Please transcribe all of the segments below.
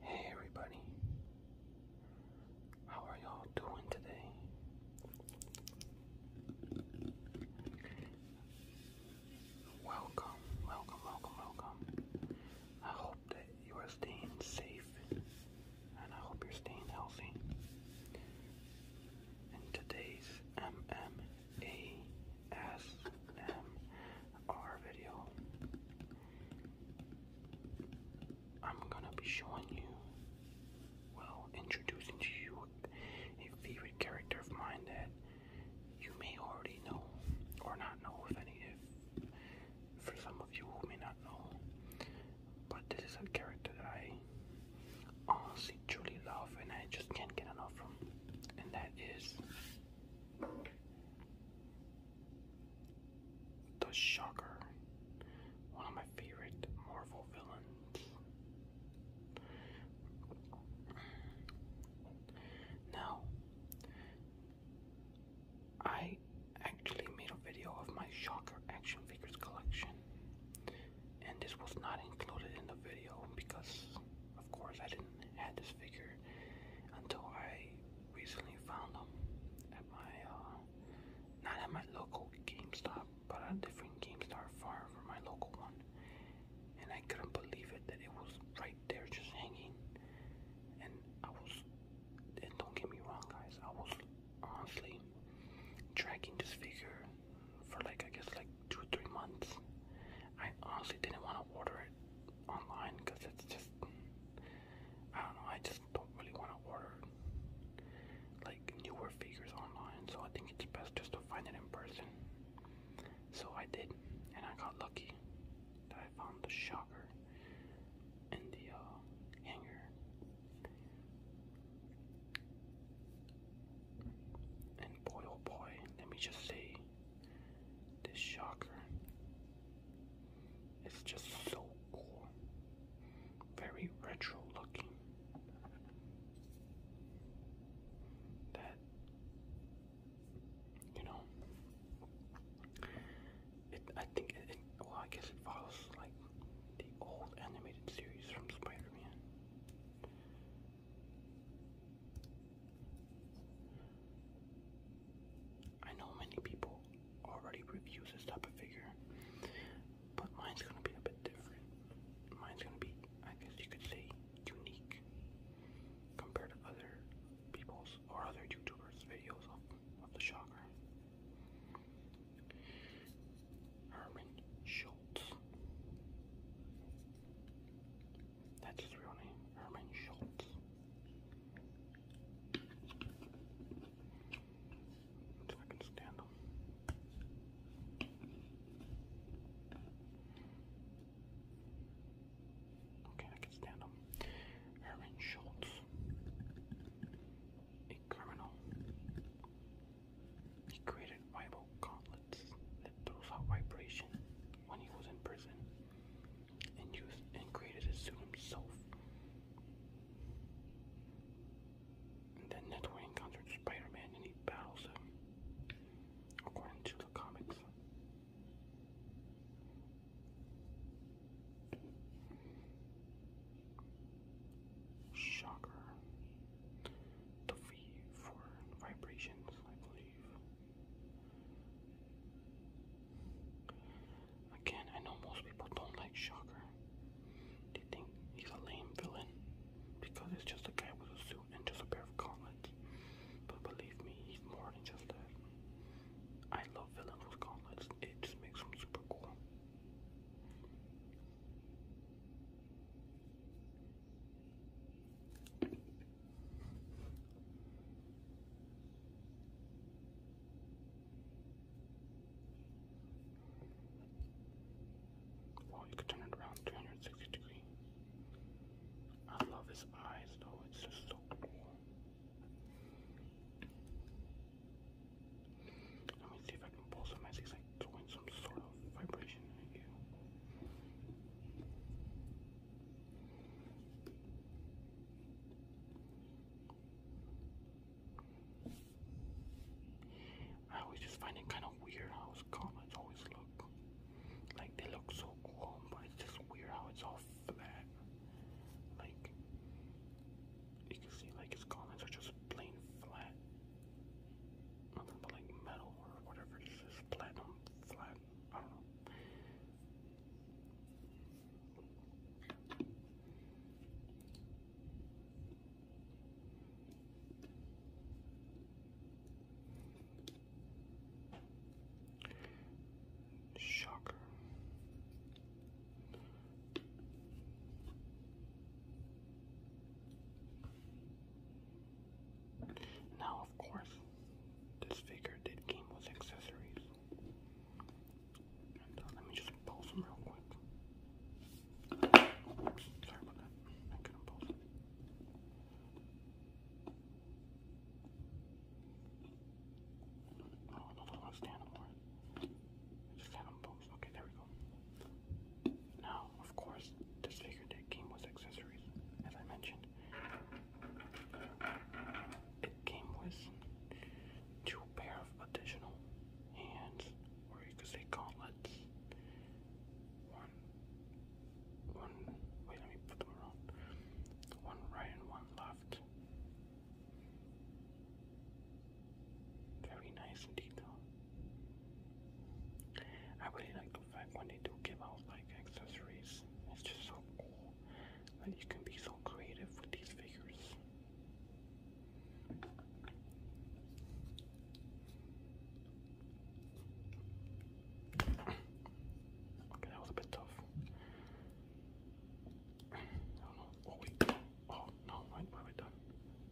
Hey everybody, how are y'all doing today? Welcome, welcome, welcome, welcome. I hope that you are staying safe and I hope you're staying healthy. In today's MM ASMR video. I'm gonna be showing you, well, introducing to you a favorite character of mine that you may already know, or not know, if any, if for some of you who may not know. But this is a character that I honestly truly love, and I just can't get enough and that is the Shocker, one of my favorite Marvel villains. Now, I actually made a video of my Shocker action figures collection, and this was not included in the video because of course, I didn't have this figure until I recently found them at my uh, not at my local GameStop, but at a different GameStop far from my local one. And I couldn't believe it that it was right there, just hanging. And I was, and don't get me wrong, guys, I was honestly tracking this figure for like I guess like two three months. I honestly didn't want to order it online because it's just I don't know. I just don't really want to order like newer figures online, so I think it's best just to find it in person. So I did, and I got lucky that I found the shocker in the uh, hanger. And boy, oh boy, let me just say, this shocker is just so cool. Very retro looking. That you know it I think it, well I guess it follows like the old animated series from Spider-Man. I know many people already reviews this type of figure, but mine's gonna be a bit different. Mine's gonna be, I guess you could say, unique compared to other people's or other YouTubers' videos of, of the shocker. Herman Schultz. That's his real name, Herman Schultz. If I can stand him. Okay, I can stand him. Herman Schultz, a criminal. He created rival gauntlets that throws vibration when he was in prison and used and created it suit himself. then that's where Spider-Man and he battles him, according to the comics. Shocker. The fee for vibrations, I believe. Again, I know most people don't like Shocker. They think he's a lame villain because it's just a guy with a suit and just a pair of gauntlets. But believe me, he's more than just that. I love villains with gauntlets. It just makes them super cool. Oh, you can turn it around 360 degree. I love his eyes though, it's just so cool. Let me see if I can pull some as like doing some sort of vibration in you. I always just find it kind of weird how his comments always look. Like they look so cool, but it's just weird how it's all flat. Like you can see, like his comments are just plain flat. Nothing but like metal or whatever. This is platinum flat I don't know. Shocker. Now, of course, this figure did came with accessories. Uh, let me just pause them real quick. sorry about that. I couldn't pause them. Oh, another one stand for Just had them both. Okay, there we go. Now, of course, this figure that came with accessories, as I mentioned. It came with two pair of additional hands, or you could say gauntlets. One, one, wait, let me put them around. One right and one left. Very nice detail. I really like because I wanted to give out like accessories. It's just so cool that you can be so creative with these figures. Okay, that was a bit tough. I do Oh wait. Oh no, what have I done?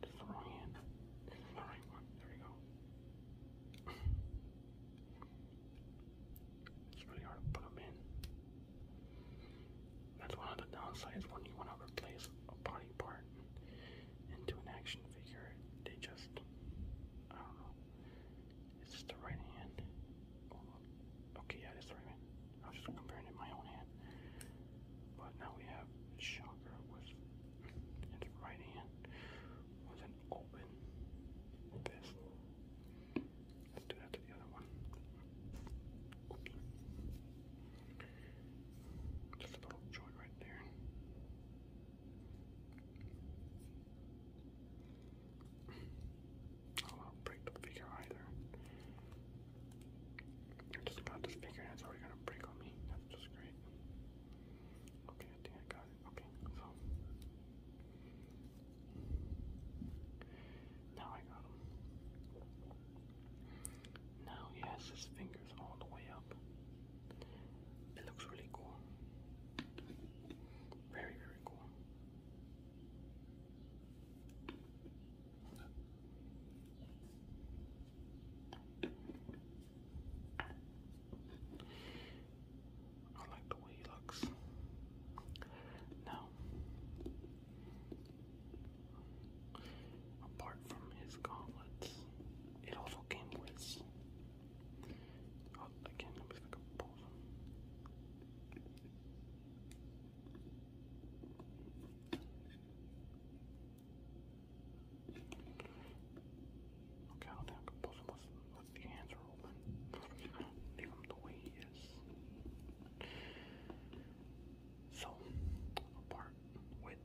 This is the wrong hand. the right one. There we go. It's really hard to put them in. That's one of the downsides when you want to replace a body part into an action figure. They just, I don't know. Is this the right hand? Oh, okay, yeah, it's the right hand. I was just comparing it my own hand. But now we have Shocker with its right hand open this. Let's do that to the other one. Just a little joint right there. Oh, I don't break the figure either. I just got this figure and it's already going to break on me. That's just great. Okay, I think I got it. Okay, so now I got him. Now he has his fingers all the way up. It looks really cool. Very, very cool. I like the way he looks. Now, apart from his gauntlets, it also came with. Oh, again, let me see if I Okay, I don't think I with, the hands are open. Leave him the way he is. So, apart with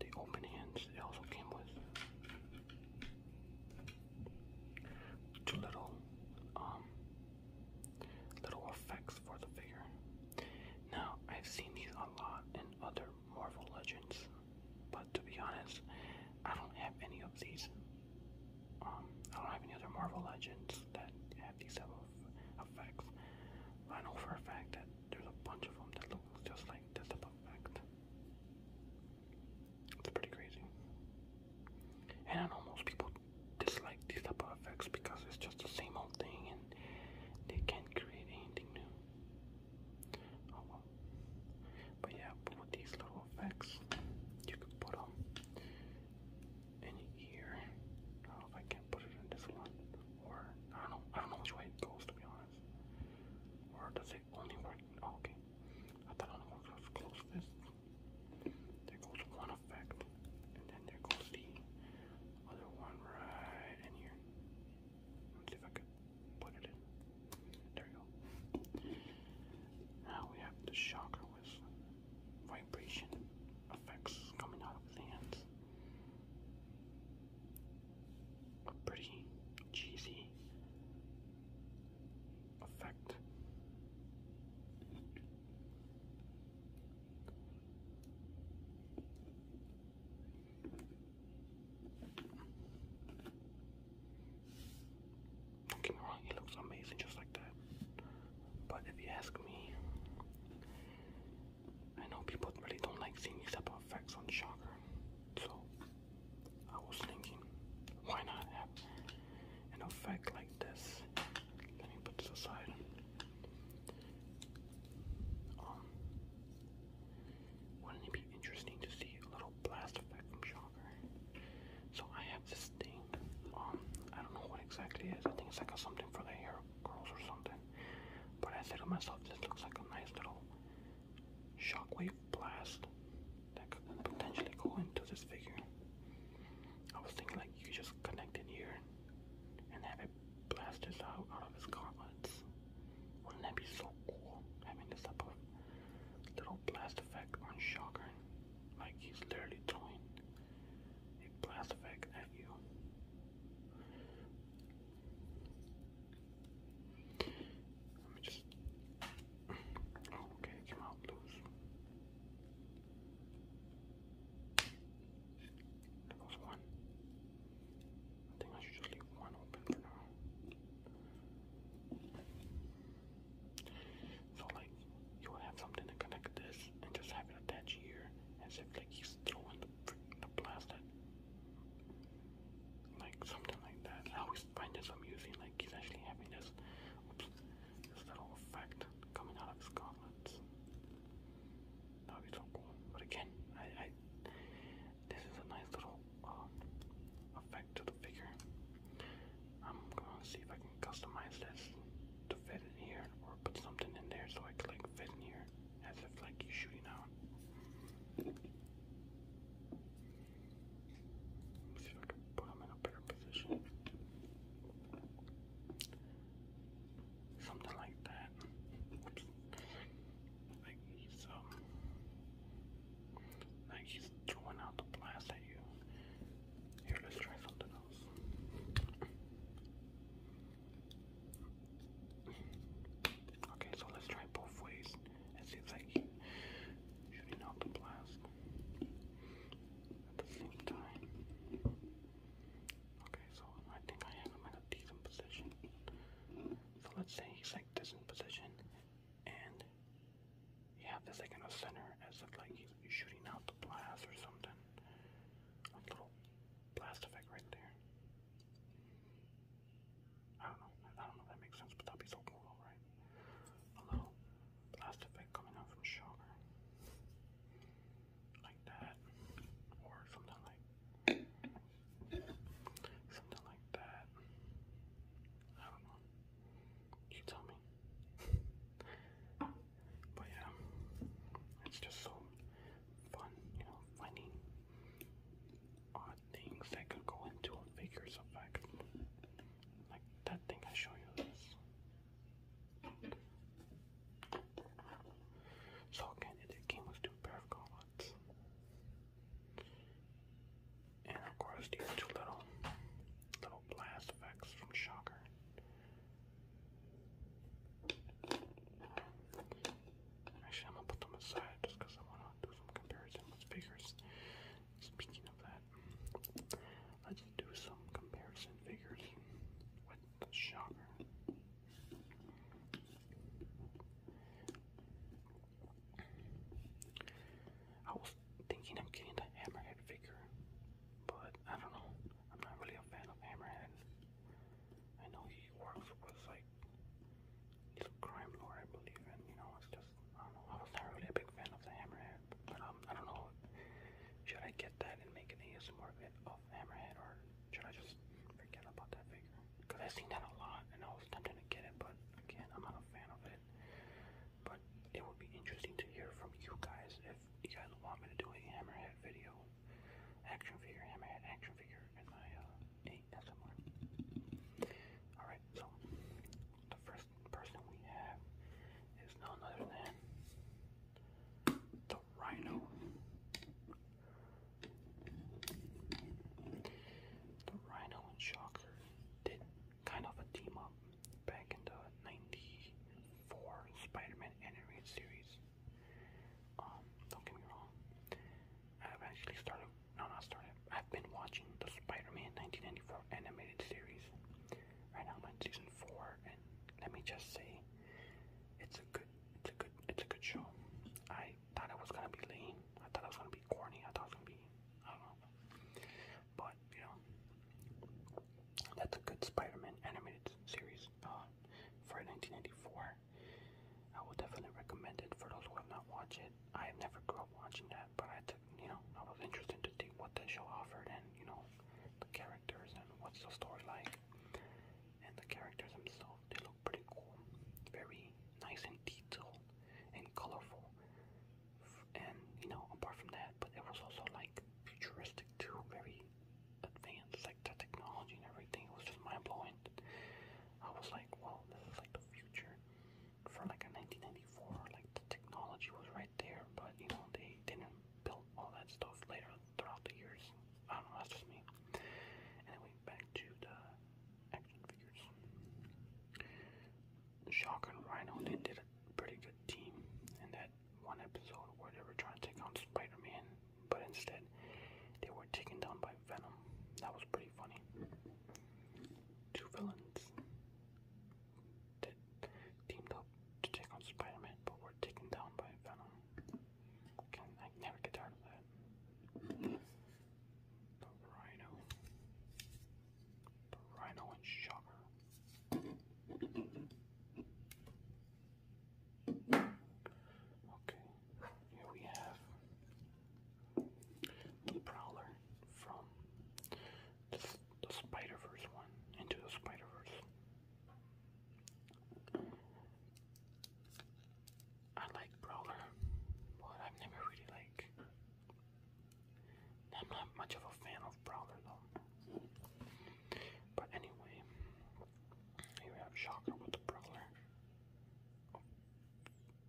the open hands, it also came with two little, um, little effects for the figure. Now, I've seen these a lot in other Marvel Legends, but to be honest, I don't have any of these. Um, I don't have any other Marvel Legends that have these type of effects. I know for a fact that there's a bunch of them that look just like this type of effect. It's pretty crazy. And I know most people dislike these type of effects because it's just the same old thing and they can't create anything new. Oh But yeah, with these little effects, you can put them in here. I don't put it in this one, or I don't know. I don't know which way it goes to be honest. Or does it only work? Oh, okay, I thought it only works with close fist. There goes one effect, and then there goes the other one right in here. Let's see if I can put it in. There you go. Now we have the shocker with vibration effects coming out of the hands. A pretty cheesy effect. Don't get it looks amazing just like that. But if you ask me, I know people really don't like seeing these type of effects on Shocker. So I was thinking, why not have an effect like this? Let me put aside. Um, wouldn't it be interesting to see a little blast effect from Shocker? So I have this thing. Um, I don't know what exactly it is. I think it's like a something for the hair curls or something. But I said to myself, this looks like a nice little shockwave blast that could potentially go into this figure. I was thinking like you could just connect it here and have it blast this out out of his gauntlets. Wouldn't that be so cool having this type of little blast effect on Shocker. Like he's literally throwing a blast effect at you. Let me just. Oh, okay, came out loose. There one. I think I should just leave one open for now. So like you will have something to connect this and just have it attached here as if like he's throwing the, the plastic. Like something like that. I always find this amusing, like he's actually having this this little effect coming out of his gauntlets. That would be so cool. But again, I I this is a nice little um, effect to the figure. I'm gonna see if I can customize this to fit in here or put something in there so I can like fit in here as if like you're shooting out. see if I can put them in a better position. Something like that. Like he's um like he's throwing out the blast at you. Here, let's try something else. Okay, so let's try both ways and see if I shooting out the blast at the same time. Okay, so I think I have him in a decent position. So let's say he's like this in position, and you have this like in the center as if like he's shooting out the blast or something. A little blast effect right there. I don't know. I don't know if that makes sense, but that'd be so cool, right? A little blast effect coming out from Shocker. Like that. Or something like something like that. I don't know. You tell me. but yeah, it's just so fun, you know, finding odd things that could go into a figure's effect. Like that thing I show you this. So again, it came with two pair of gauntlets. And of course these two little little blast effects from Shocker. Actually I'm gonna put them aside just I wanna do some comparison figures. Speaking of that, let's do some comparison figures with Shocker. I was thinking of getting the hammerhead figure, but I don't know. I'm not really a fan of hammerhead. I know he works with like he's a crime lord, I believe, and you know it's just I don't know. I was not really a big fan of the hammerhead, but um, I don't know. Should I get that and make an ASMR bit of hammerhead, or should I just forget about that figure? Because I've seen that a lot, and I was tempted to get it, but again, I'm not a fan of it. But it would be interesting to hear from you guys if you guys want me to do a hammerhead video, action figure, hammerhead action figure, in my uh, ASMR. Alright, so the first person we have is none other than the Rhino. The Rhino and Shocker did kind of a team up back in the '94 Spider-Man animated series. Um, don't get me wrong. I've actually started. No, not started. I've been watching the Spider-Man 1994 animated series. Right now, I'm in season four, and let me just say, it's a good, it's a good, it's a good show. I thought it was gonna be lame. I thought it was gonna be corny. I thought it was gonna be I don't know. But you know, that's a good Spider-Man animated series uh, for 1994. I would definitely recommend it for those who have not watched it. I never grew up watching that, but I took you know I was interested to see what the show offered and you know the characters and what's the story like. And the characters themselves, they look pretty cool. Very nice and detailed and colorful, and you know, apart from that, but it was also like futuristic too, very advanced, like the technology and everything. It was just mind blowing. I was like, well, this is like the future for like a 1994. Like the technology was right there, but you know, they didn't build all that stuff later throughout the years. I don't know, that's just me. Anyway, back to the action figures. Shock and Rhino, did a pretty good team in that one episode where they were trying to take on Spider Man, but instead they were taken down by Venom. That was pretty funny. Two villains teamed up to take on Spider Man, but were taken down by Venom. Can I never get tired of that? Rhino, Rhino and Shocker. Okay, here we have the Prowler from the, Spider Verse one into the Spider Verse. I like Brawler, but I've never really like I'm not much of a fan of Prowler though. But anyway, here we have Shocker with the Prowler.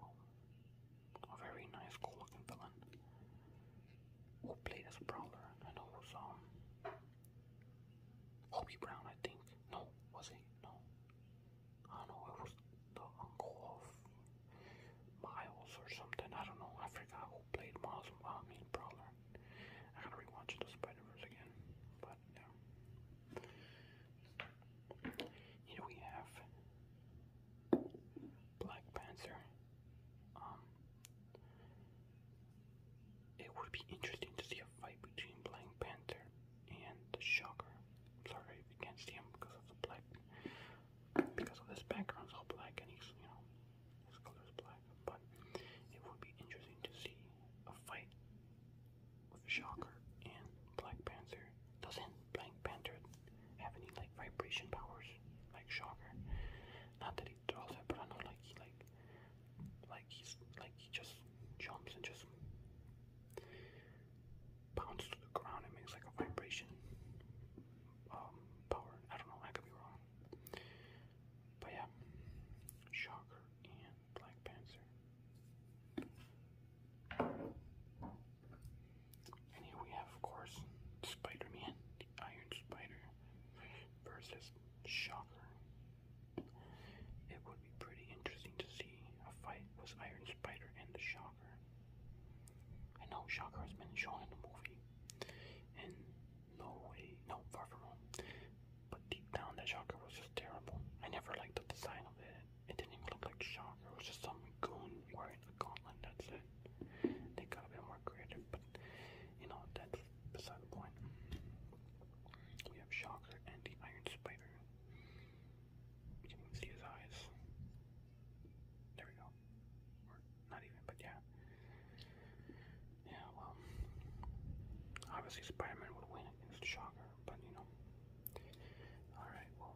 Oh. A very nice, cool looking villain. Who played as Prowler? I know it um Hobie Brown, I think. No, was he? No. I don't know, it was the uncle of Miles or something. I don't know. I forgot who played Miles. Oh, I mean, Prowler. I gotta rewatch the Spider Verse again. But yeah. Here we have Black Panther. Um, it would be interesting to see a fight between Black Panther and the Shocker. sorry if you can't see him because of the black because this background, it's all black and he's, you know, his color is black. But it would be interesting to see a fight with Shocker and Black Panther. Doesn't Black Panther have any like vibration powers like Shocker? Not that he draws it, but I know like he like like he's like he just jumps and just bounce to the ground, it makes like a vibration um, power. I don't know, I could be wrong. But yeah, Shocker and Black Panther. And here we have, of course, Spider Man, the Iron Spider versus Shocker. It would be pretty interesting to see a fight with Iron Spider and the Shocker. Shocker. I know Shocker has been shown in the movie, and no way, no far from home. But deep down, that Shocker was just terrible. I never liked the design of it. It didn't even look like Shocker. It was just some goon wearing a gauntlet. That's it. They could have been more creative, but you know that's beside the point. We have Shocker and the Iron Spider. We can see his eyes. There we go. not even, but yeah. Yeah, well. Obviously Spider would win against Shocker, but you know. Alright, well.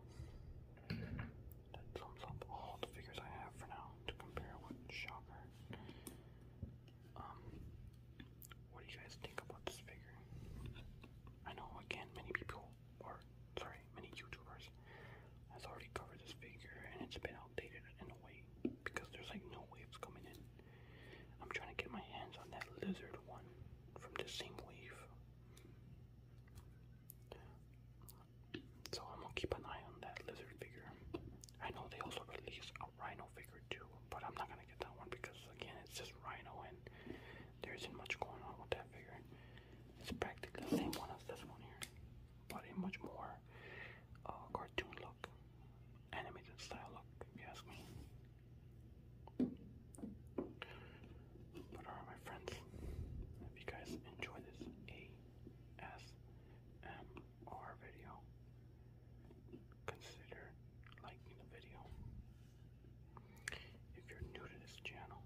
That sums up all the figures I have for now to compare with Shocker. Um what do you guys think about this figure? I know again many people or sorry, many YouTubers, has already covered this figure, and it's been outdated in a way because there's like no waves coming in. I'm trying to get my hands on that lizard one from the same wave. So I'm gonna keep an eye on that lizard figure. I know they also released a rhino figure too, but I'm not gonna get that one because again it's just rhino and there isn't much going on with that figure. It's practically the same one as this one here, but in much more uh, cartoon look, animated style look, if you ask me. But alright, my friends, if you guys enjoy this ASMR video, consider liking the video. If you're new to this channel,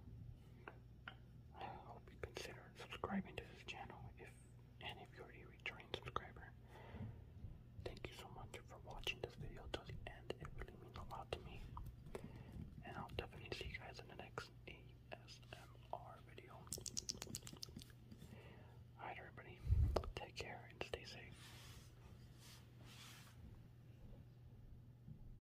I hope you consider subscribing to this channel if and if you're a returning subscriber. Thank you so much for watching this video till the end. It really means a lot to me. And I'll definitely see you guys in the next ASMR video. Alright everybody, take care and stay safe.